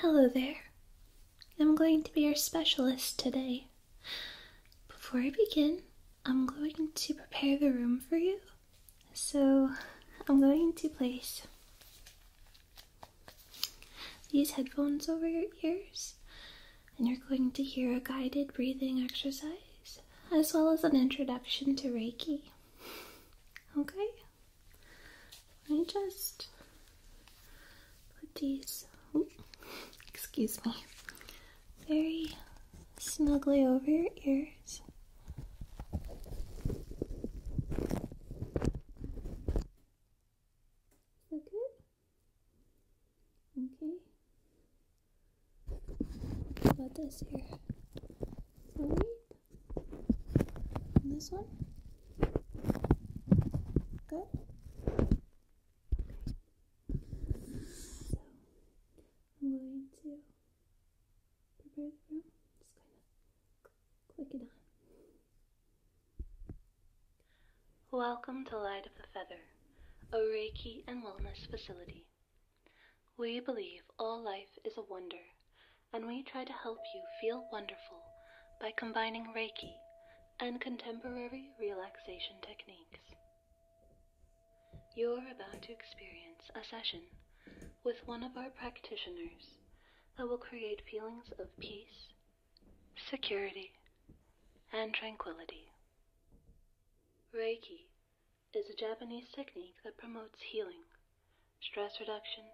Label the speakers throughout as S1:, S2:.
S1: Hello there. I'm going to be your specialist today. Before I begin, I'm going to prepare the room for you. So, I'm going to place these headphones over your ears, and you're going to hear a guided breathing exercise as well as an introduction to Reiki. Okay? Let me just put these, excuse me, very snugly over your ears. Is that good? Okay. about this here? this one? Good? Okay. So, I'm going to prepare the room. Just kind of click it on. Welcome to Light of the Feather, a Reiki and wellness facility. We believe all life is a wonder, and we try to help you feel wonderful by combining Reiki and contemporary relaxation techniques. You're about to experience a session with one of our practitioners that will create feelings of peace security, and tranquility. Reiki is a Japanese technique that promotes healing, stress reduction,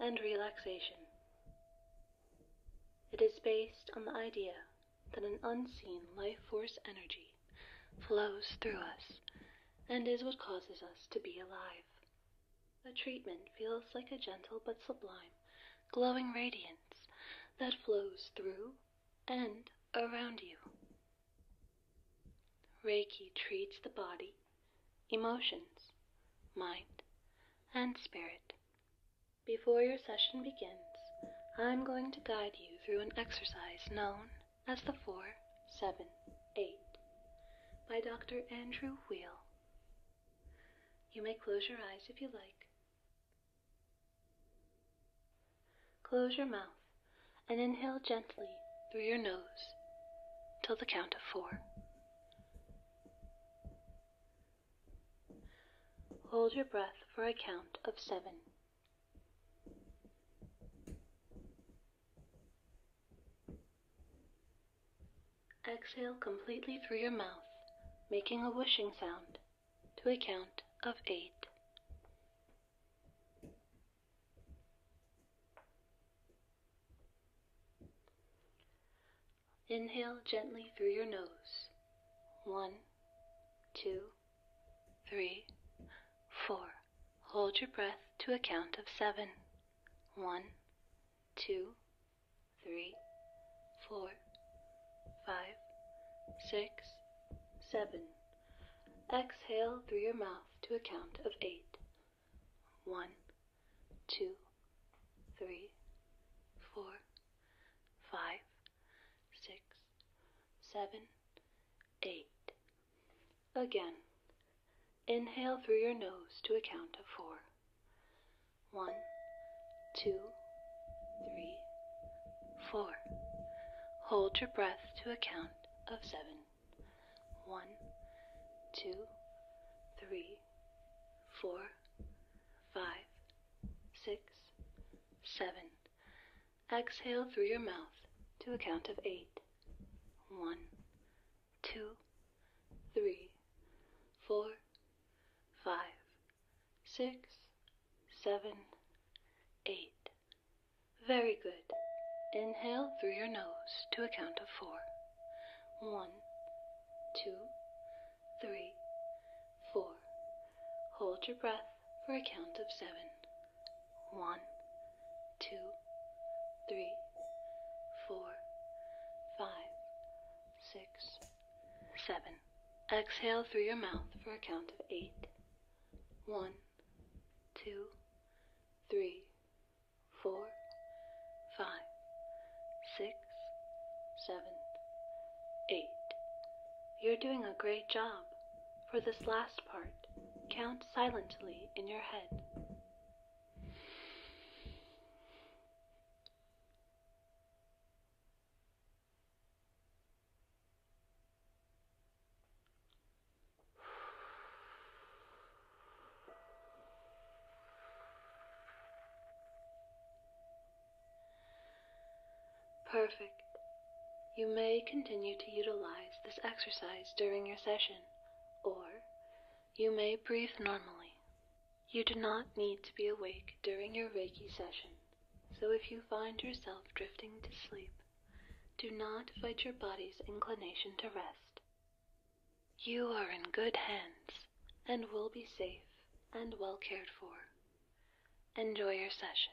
S1: and relaxation. It is based on the idea that an unseen life force energy flows through us and is what causes us to be alive. The treatment feels like a gentle but sublime, glowing radiance that flows through and around you. Reiki treats the body, emotions, mind, and spirit. Before your session begins, I'm going to guide you through an exercise known as the Four Seven Eight by Dr. Andrew Weil. You may close your eyes if you like. Close your mouth and inhale gently through your nose till the count of four. Hold your breath for a count of seven. Exhale completely through your mouth, making a whooshing sound to a count of eight. Inhale gently through your nose. One, two, three, four. Hold your breath to a count of seven. One, two, three, four, five, six, seven. Exhale through your mouth to a count of eight. One, two, three, four, five, six, seven, eight. Again, inhale through your nose to a count of four. One, two, three, four. Hold your breath to a count of seven. One, two, three, four, five, six, seven. Exhale through your mouth to a count of eight. One, two, three, four, five, six, seven, eight. Very good. Inhale through your nose to a count of four. One, two, three, four. Hold your breath for a count of seven. One, two, three, four, five, six, seven. Exhale through your mouth for a count of eight. One, two, three, four, five, six, seven, eight. You're doing a great job. For this last part, count silently in your head. Perfect. You may continue to utilize this exercise during your session, or you may breathe normally you do not need to be awake during your Reiki session, so if you find yourself drifting to sleep, do not fight your body's inclination to rest. You are in good hands and will be safe and well cared for. Enjoy your session.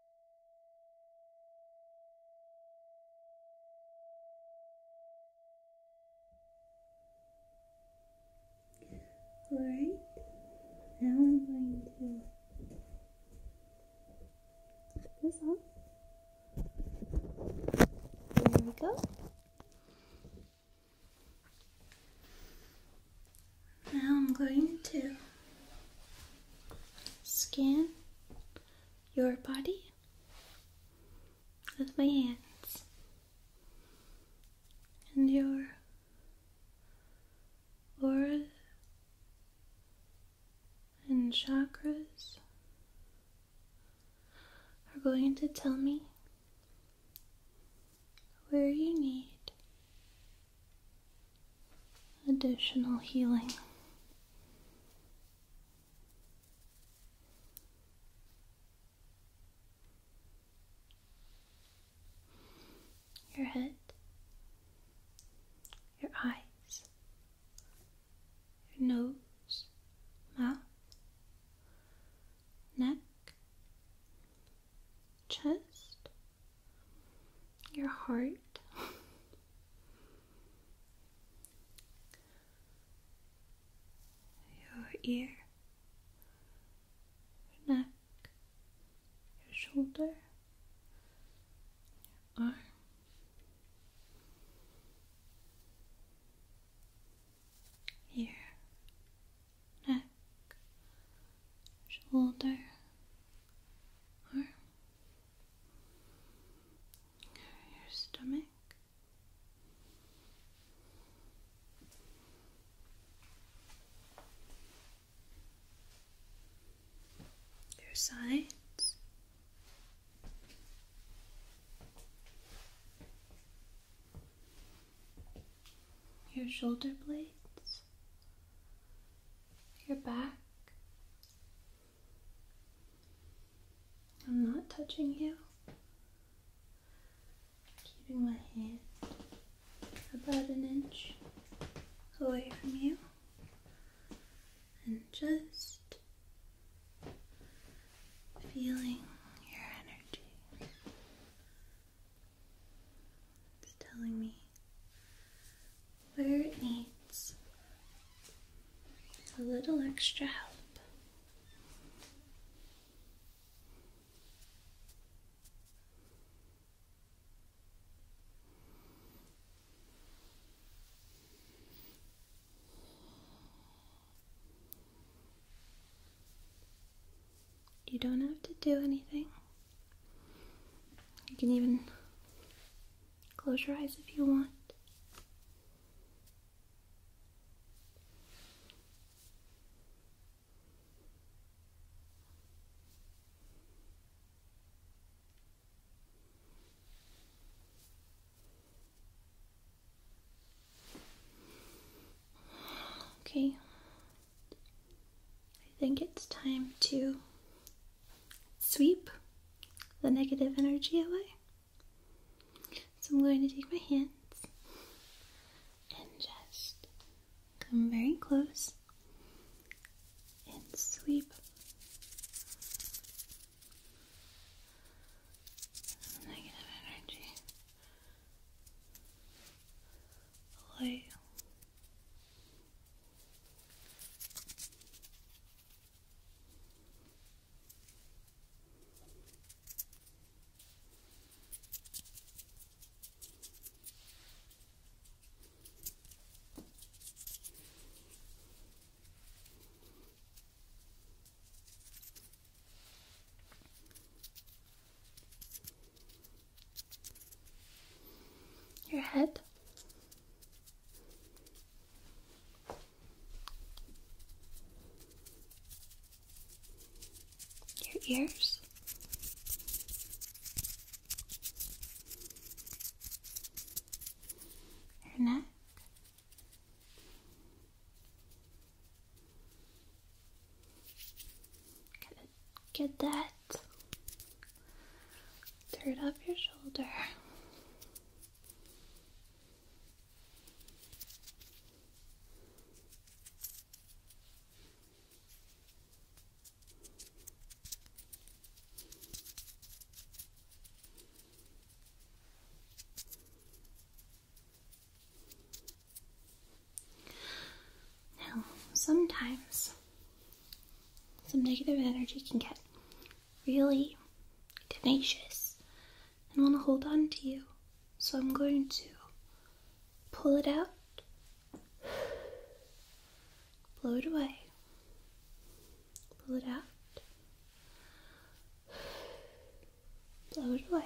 S1: All right, now I'm going to put this off. There we go. Now I'm going to scan your body with my hands and your aura and chakras are going to tell me where you need additional healing. Your head, your eyes, your nose, mouth, neck, chest, your heart. Your ear, your neck, your shoulder, your arm, ear, neck, shoulder, arm, your stomach. Your sides, your shoulder blades, your back. I'm not touching you. Keeping my hand about an inch away from you and just feeling your energy. It's telling me where it needs a little extra help. You don't have to do anything. You can even Close your eyes if you want. Okay, I think it's time to sweep the negative energy away. So I'm going to take my hands and just come very close and sweep negative energy away your head your ears. Your neck. Get, get that butt. Turn up your shoulder. Now, sometimes some negative energy can get really tenacious and want to hold on to you. So I'm going to pull it out, blow it away, pull it out, blow it away.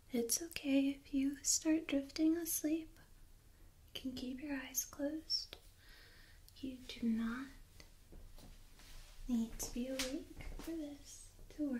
S1: It's okay if you start drifting asleep. You can keep your eyes closed. You do not need to be awake for this to work.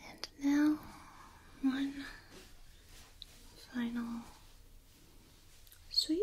S1: And now, one final sweep.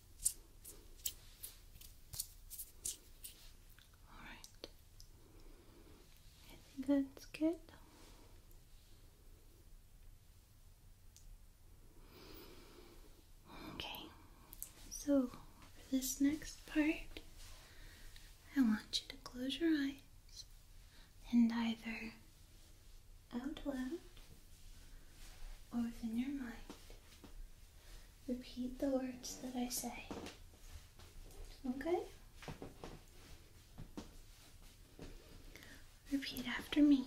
S1: All right. I think that's good. Okay, so for this next part, I want you to close your eyes and either out loud or within your mind repeat the words that I say. Okay? Repeat after me.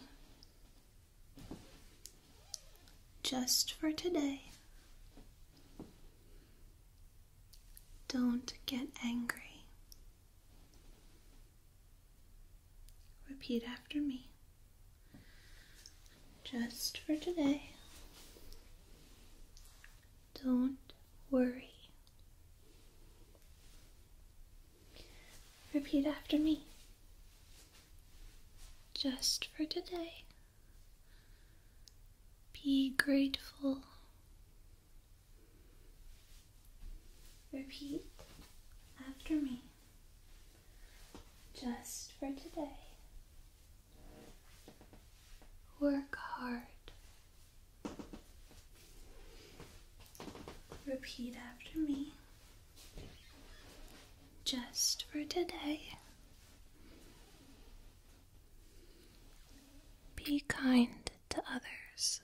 S1: Just for today, don't get angry. Repeat after me. Just for today. Don't worry. Repeat after me. Just for today. Be grateful. Repeat after me just for today. Work hard. Repeat after me. Just for today. Be kind to others.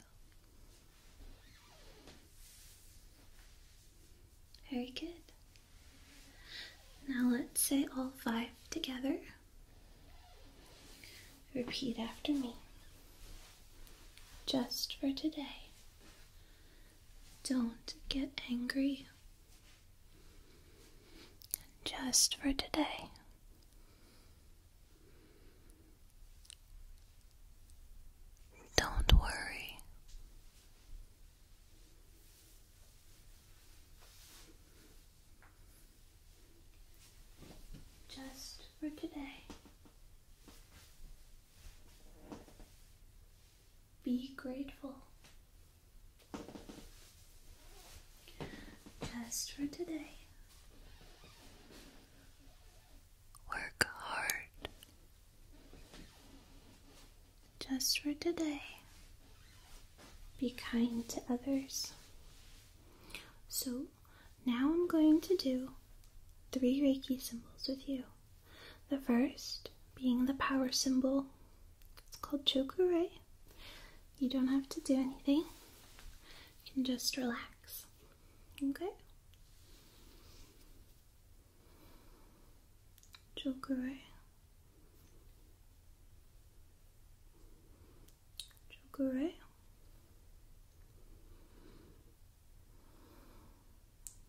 S1: Very good. Now let's say all five together. Repeat after me. Just for today. Don't get angry. Just for today. Don't worry. Just for today. Be grateful. Just for today. Work hard just for today. Be kind to others. So now I'm going to do three Reiki symbols with you. The first being the power symbol. It's called Chokurei. You don't have to do anything. You can just relax. Okay? Chokurei. Chocoré.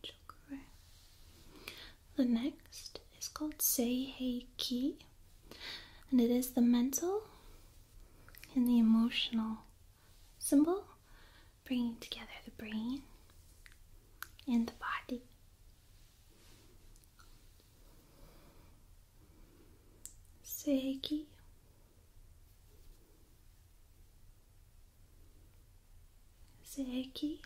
S1: Chocoré. The next is called Seihei Ki, and it is the mental and the emotional symbol, bringing together the brain and the body segue segue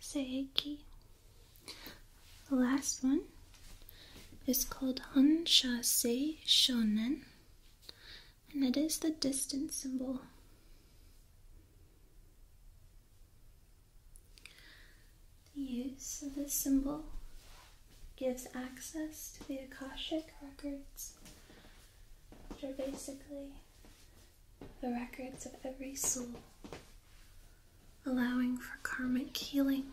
S1: segue the last one is called Hansha Se Shonen and it is the distance symbol. The use of this symbol gives access to the Akashic records, which are basically the records of every soul, allowing for karmic healing.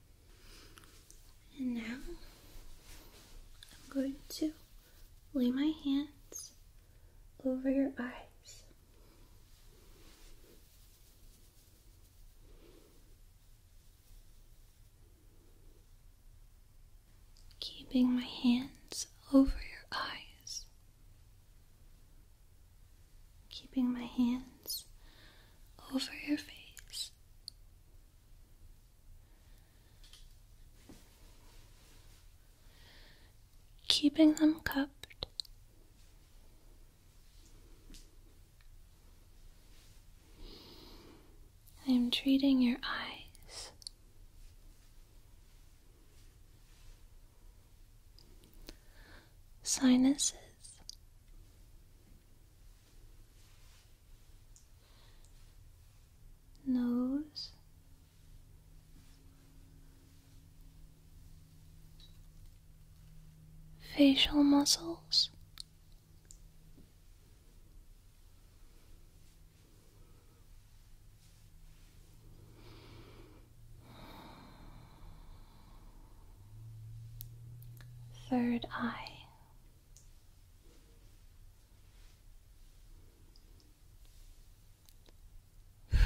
S1: And now I'm going to lay my hands over your eyes. Keeping my hands over your eyes, keeping my hands over your face. Keeping them cupped, I am treating your eyes sinuses nose, facial muscles. Third eye.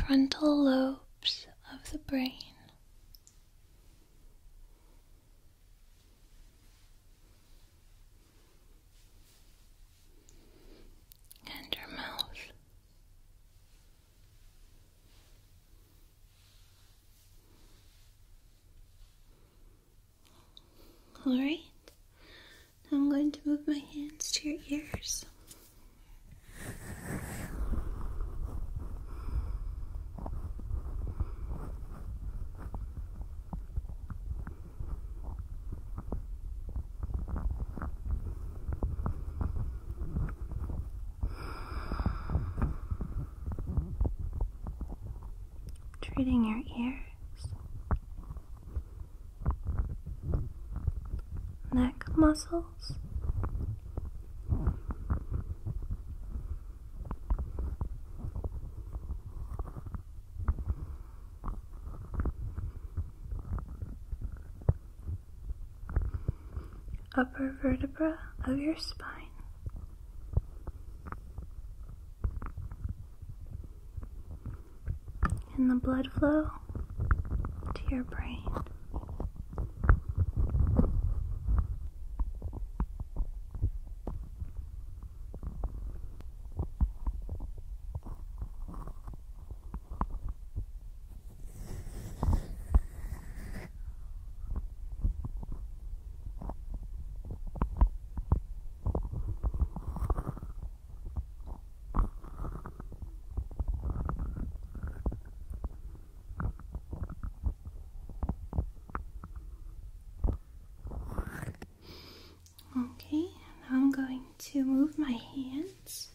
S1: Frontal lobes of the brain. And your mouth. Alright, I'm going to move my hands to your ears treating your ears, neck muscles. Upper vertebra of your spine and the blood flow to your brain. Okay, now I'm going to move my hands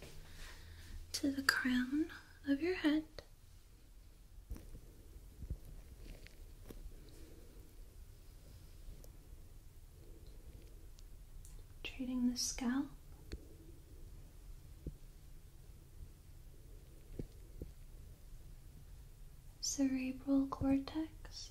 S1: to the crown of your head. Treating the scalp. Cerebral cortex.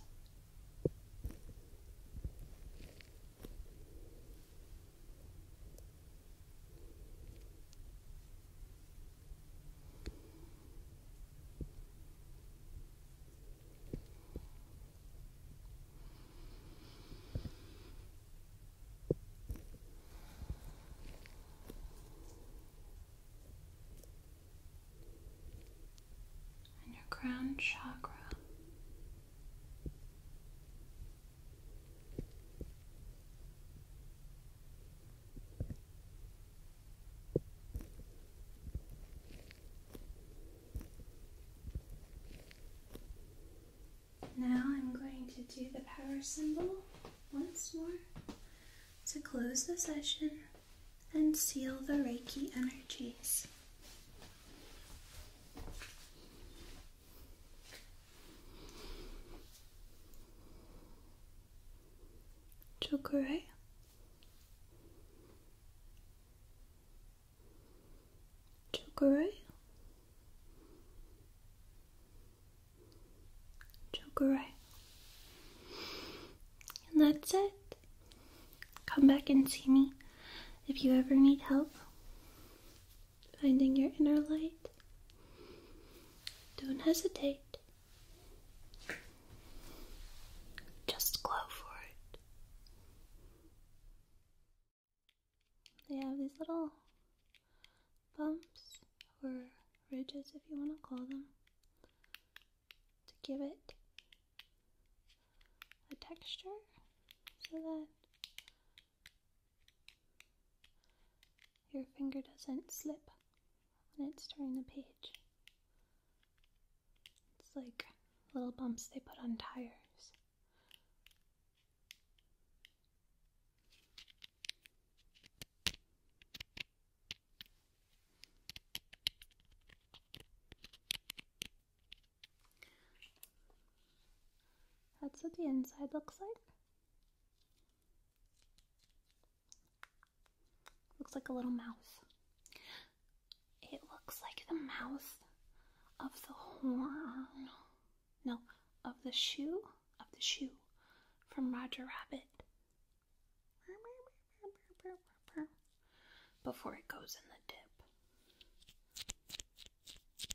S1: And your crown chakra now I'm going to do the power symbol once more to close the session and seal the Reiki energies. Chokure. Chokure. Chokure. And that's it. Come back and see me if you ever need help finding your inner light. Don't hesitate. Just glow for it. They have these little bumps or ridges, if you want to call them, to give it a texture so that your finger doesn't slip when it's turning the page. It's like little bumps they put on tires. That's what the inside looks like. Looks like a little mouse. It looks like the mouth of the horn. No, of the shoe? Of the shoe from Roger Rabbit. Before it goes in the dip.